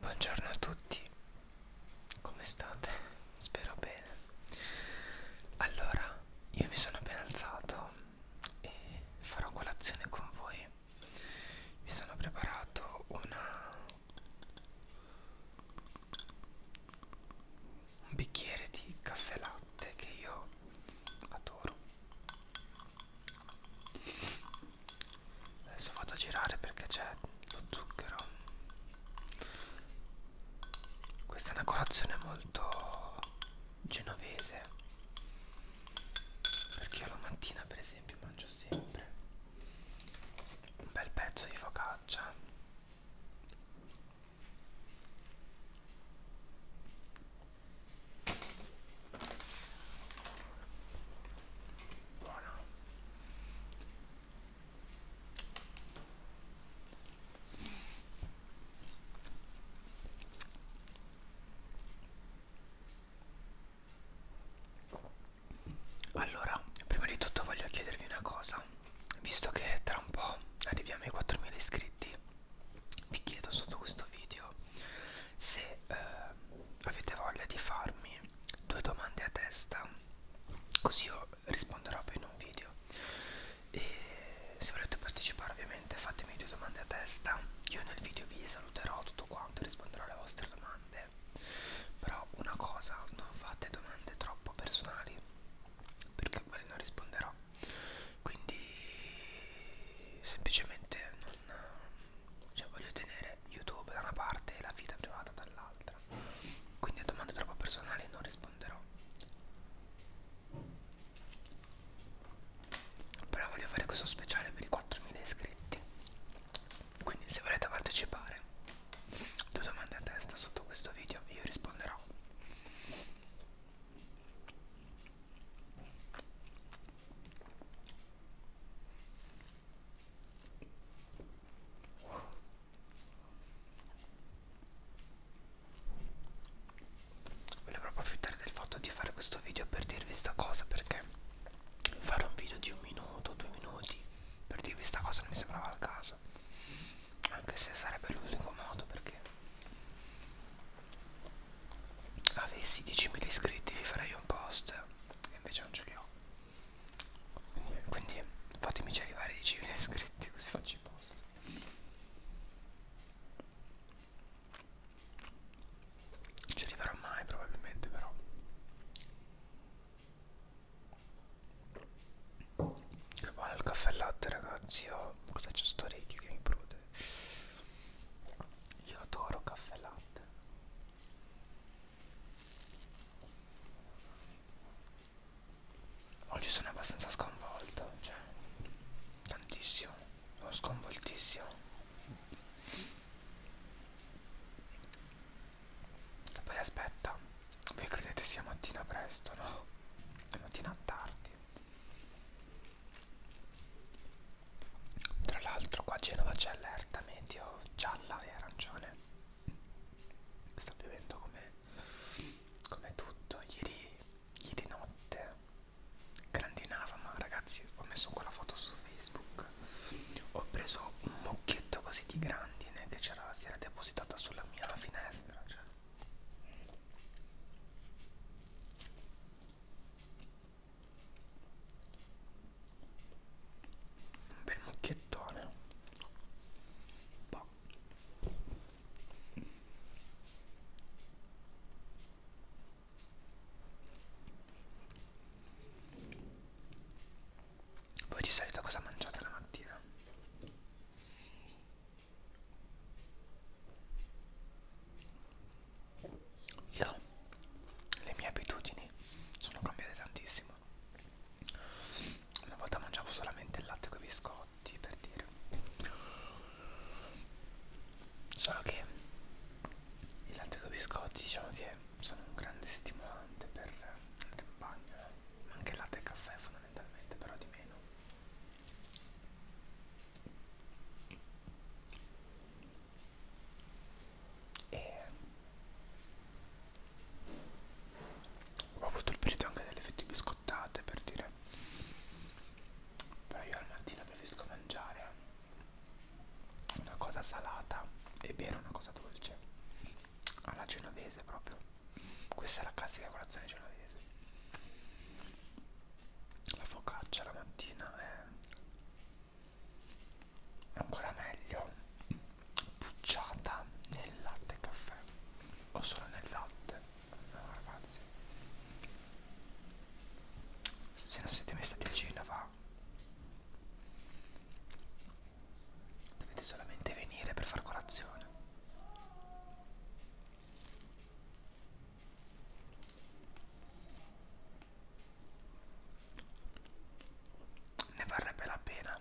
Buongiorno a tutti, come state? Spero bene. Allora, io mi sono appena alzato e farò colazione con voi. Mi sono preparato una un bicchiere di caffè latte che io adoro Adesso vado a girare perché c'è lo zucchero. Questa è una colazione molto genovese. Perché io la mattina, per esempio, mangio sempre un bel pezzo di focaccia. Buona. Allora, prima di tutto voglio chiedervi una cosa, visto che tra un po' arriviamo ai 4.000 iscritti, vi chiedo sotto questo video se eh, avete voglia di farmi due domande a testa così io risponderò poi in un video e se volete partecipare ovviamente fatemi due domande a testa io nel video vi saluterò tutto quanto e risponderò alle vostre domande però una cosa non fate domande troppo personali perché quelle non risponderò quindi semplicemente non, cioè voglio tenere YouTube da una parte e la vita privata dall'altra. Quindi a domande troppo personali non risponderò. Però voglio fare questo speciale per i 4.000 iscritti. Quindi se volete partecipare, due domande a testa sotto questo video e io risponderò. Volevo proprio approfittare del fatto di fare questo video per dirvi sta cosa perché fare un video di un minuto, due minuti per dirvi sta cosa non mi sembrava al caso anche se sarebbe l'unico modo perché avessi 10.000 iscritti vi farei un post e invece non ce li ho quindi, quindi fatemici arrivare 10.000 iscritti così faccio i post non ci arriverò mai probabilmente però che buono il caffè latte ragazzi io cosa c'è sto orecchio che mi prude io adoro caffè latte Oggi sono abbastanza sconvolto, cioè tantissimo, sono sconvoltissimo. E poi aspetta, voi credete sia mattina presto, no? È mattina tardi. Tra l'altro qua a Genova c'è allerta medio gialla e arancione. Sta piovendo come, come tutto. Ieri, ieri notte grandinava, ma ragazzi ho messo quella foto su Facebook. Ho preso un mucchietto così di grandine che si era depositata sulla mia finestra. Cioè un bel mucchiettone boh. voi di solito cosa mangiate la mattina? io le mie abitudini sono cambiate tantissimo una volta mangiavo solamente il latte con i biscotti per dire solo che il latte con i biscotti diciamo che sono un grande stimolante per il campagno eh. ma anche il latte e il caffè fondamentalmente però di meno e ho avuto il periodo anche delle fette biscottate per dire però io al mattino preferisco mangiare una cosa salata e bere una cosa dolce alla genovese proprio questa è la classica colazione genovese la focaccia la mattina è ancora meglio pucciata nel latte e caffè o solo nel latte no ragazzi se non siete mai stati a Genova dovete solamente venire per far colazione ne varrebbe la pena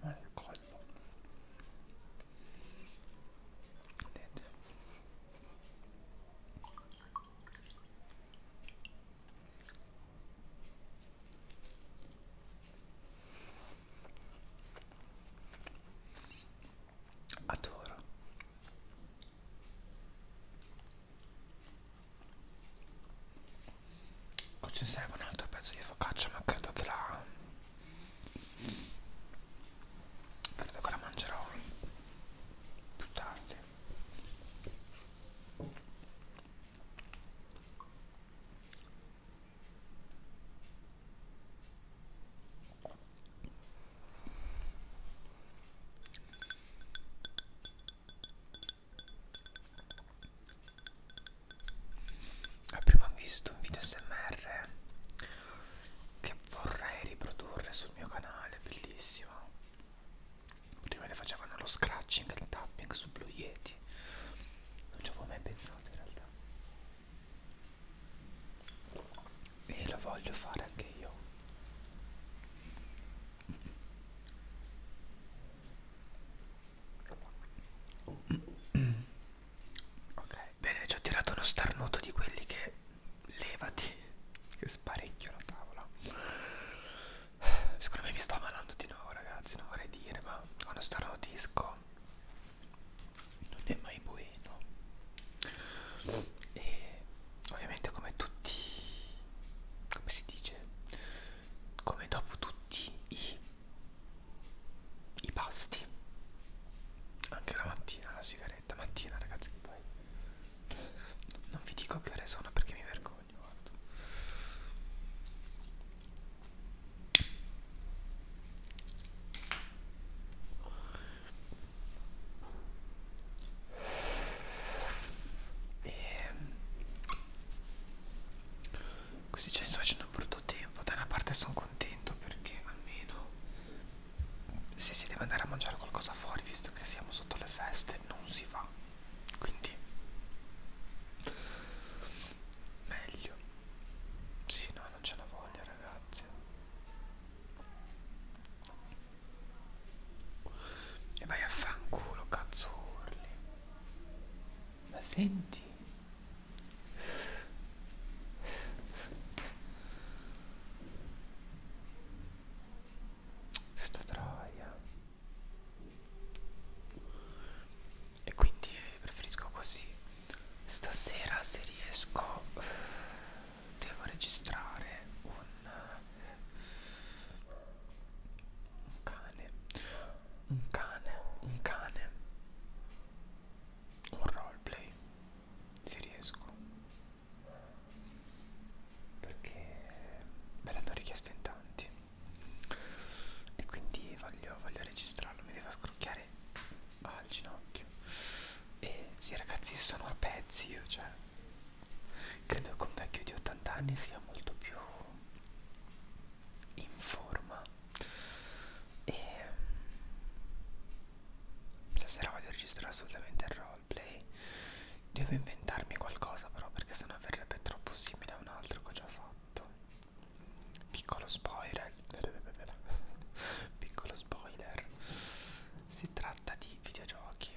al ah, collo vedete Adoro. Qua ci serve un altro pezzo di focaccia, ma credo che la... credo che la mangerò più tardi. Prima ho visto un video smr che vorrei riprodurre sul mio canale, bellissimo praticamente facevano lo scratching, il tapping su Blue Yeti. Non ci avevo mai pensato in realtà. E lo voglio fare anche io. Ok, bene, ci ho tirato uno starnuto di quelli che levati, che sparecchio la tavola. Secondo me mi sto ammalando di nuovo ragazzi, non vorrei dire, ma quando starò disco non è mai buono. E ovviamente come tutti, come si dice, come dopo tutti i, i pasti, anche la mattina la sigaretta, mattina ragazzi che poi non vi dico che ore sono perché mi vergogno, guarda. E... Così ci sto facendo un brutto tempo. Da una parte sono contento perché almeno se si deve andare a mangiare qualcosa fuori, visto che siamo sotto le feste, non si va quindi meglio sì no non c'è la voglia ragazzi e vai a fanculo cazzo urli ma senti sta troia e quindi eh, preferisco così stasera se riesco devo registrare un un cane un cane un cane un roleplay se riesco perché me l'hanno richiesto in tanti e quindi voglio, voglio registrarlo mi devo scrocchiare al ginocchio e sì ragazzi sono a pezzi io cioè credo che un vecchio di 80 anni sia molto più in forma e mm, stasera voglio registrare assolutamente il raw roleplay devo inventarmi qualcosa però perché sennò verrebbe troppo simile a un altro che ho già fatto piccolo spoiler piccolo spoiler si tratta di videogiochi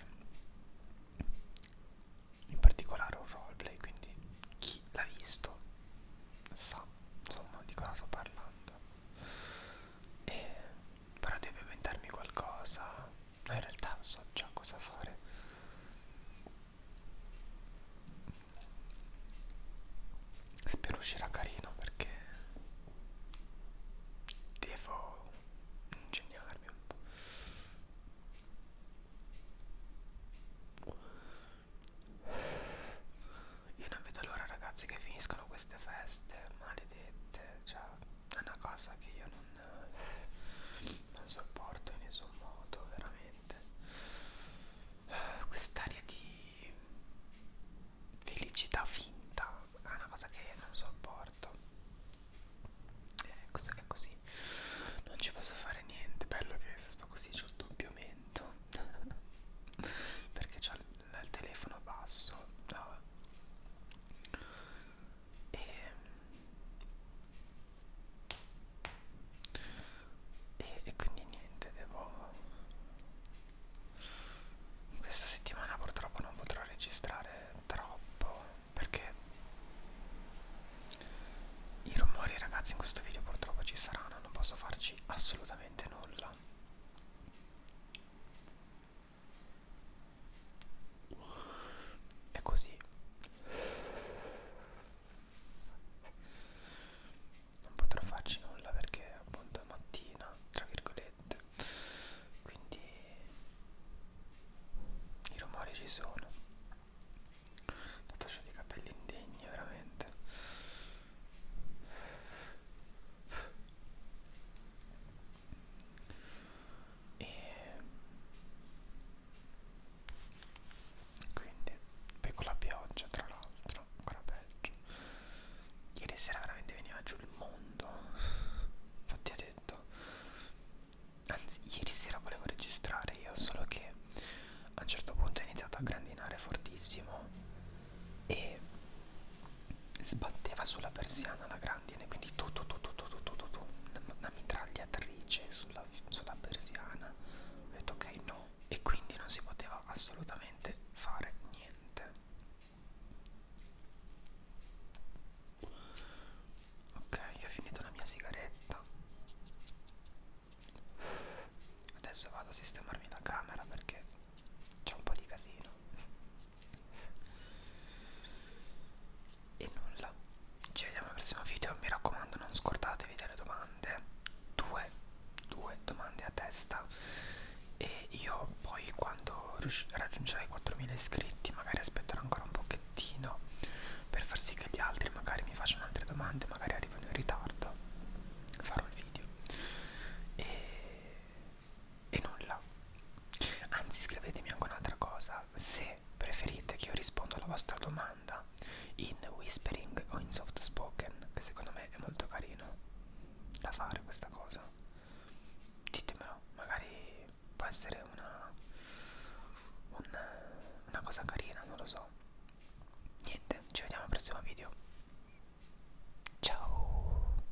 in particolare un roleplay quindi chi l'ha visto sa insomma di cosa sto parlando e però devo inventarmi qualcosa No, in realtà so già cosa fare. Spero uscirà carino perché devo ingegnarmi un po'. Io non vedo l'ora ragazzi che finiscono queste feste maledette, cioè è una cosa che io non non sopporto in nessun modo veramente quest'aria di felicità finta è una cosa che non sopporto eh, questo che è così non ci posso fare niente bello che se sto così c'ho il doppio mento perché c'ho il, il telefono basso no e, e, e quindi niente devo questa settimana purtroppo non potrò registrare troppo perché i rumori ragazzi in questo video purtroppo ci saranno non posso farci assolutamente nulla è così non potrò farci nulla perché appunto è mattina tra virgolette quindi i rumori ci sono tanto ho dei capelli indegni veramente e quindi poi con la pioggia tra l'altro ancora peggio ieri sera veramente veniva giù il mondo infatti ho detto anzi ieri sera volevo registrare io solo che a un certo punto ho iniziato a grandinare fortissimo e sbatteva sulla persiana la grandine, quindi tu tu tu tu tu tu tu, tu, tu una mitragliatrice sulla, sulla persiana. Ho detto ok no. E quindi non si poteva assolutamente fare niente. Ok, io ho finito la mia sigaretta. Adesso vado a sistemarmi la camera perché c'è un po' di casino. E nulla, ci vediamo al prossimo video, mi raccomando non scordatevi delle domande, due, due domande a testa e io poi quando raggiungerò i 4000 iscritti magari aspetterò ancora un pochettino per far sì che gli altri magari mi facciano altre domande, magari arrivano in ritardo, farò il video e e nulla. Anzi, scrivetemi anche un'altra cosa, se preferite che io rispondo alla vostra domanda in whispering o in soft spoken, che secondo me è molto carino da fare questa cosa. Ditemelo, magari può essere una, una, una cosa carina, non lo so. Niente, ci vediamo al prossimo video. Ciao!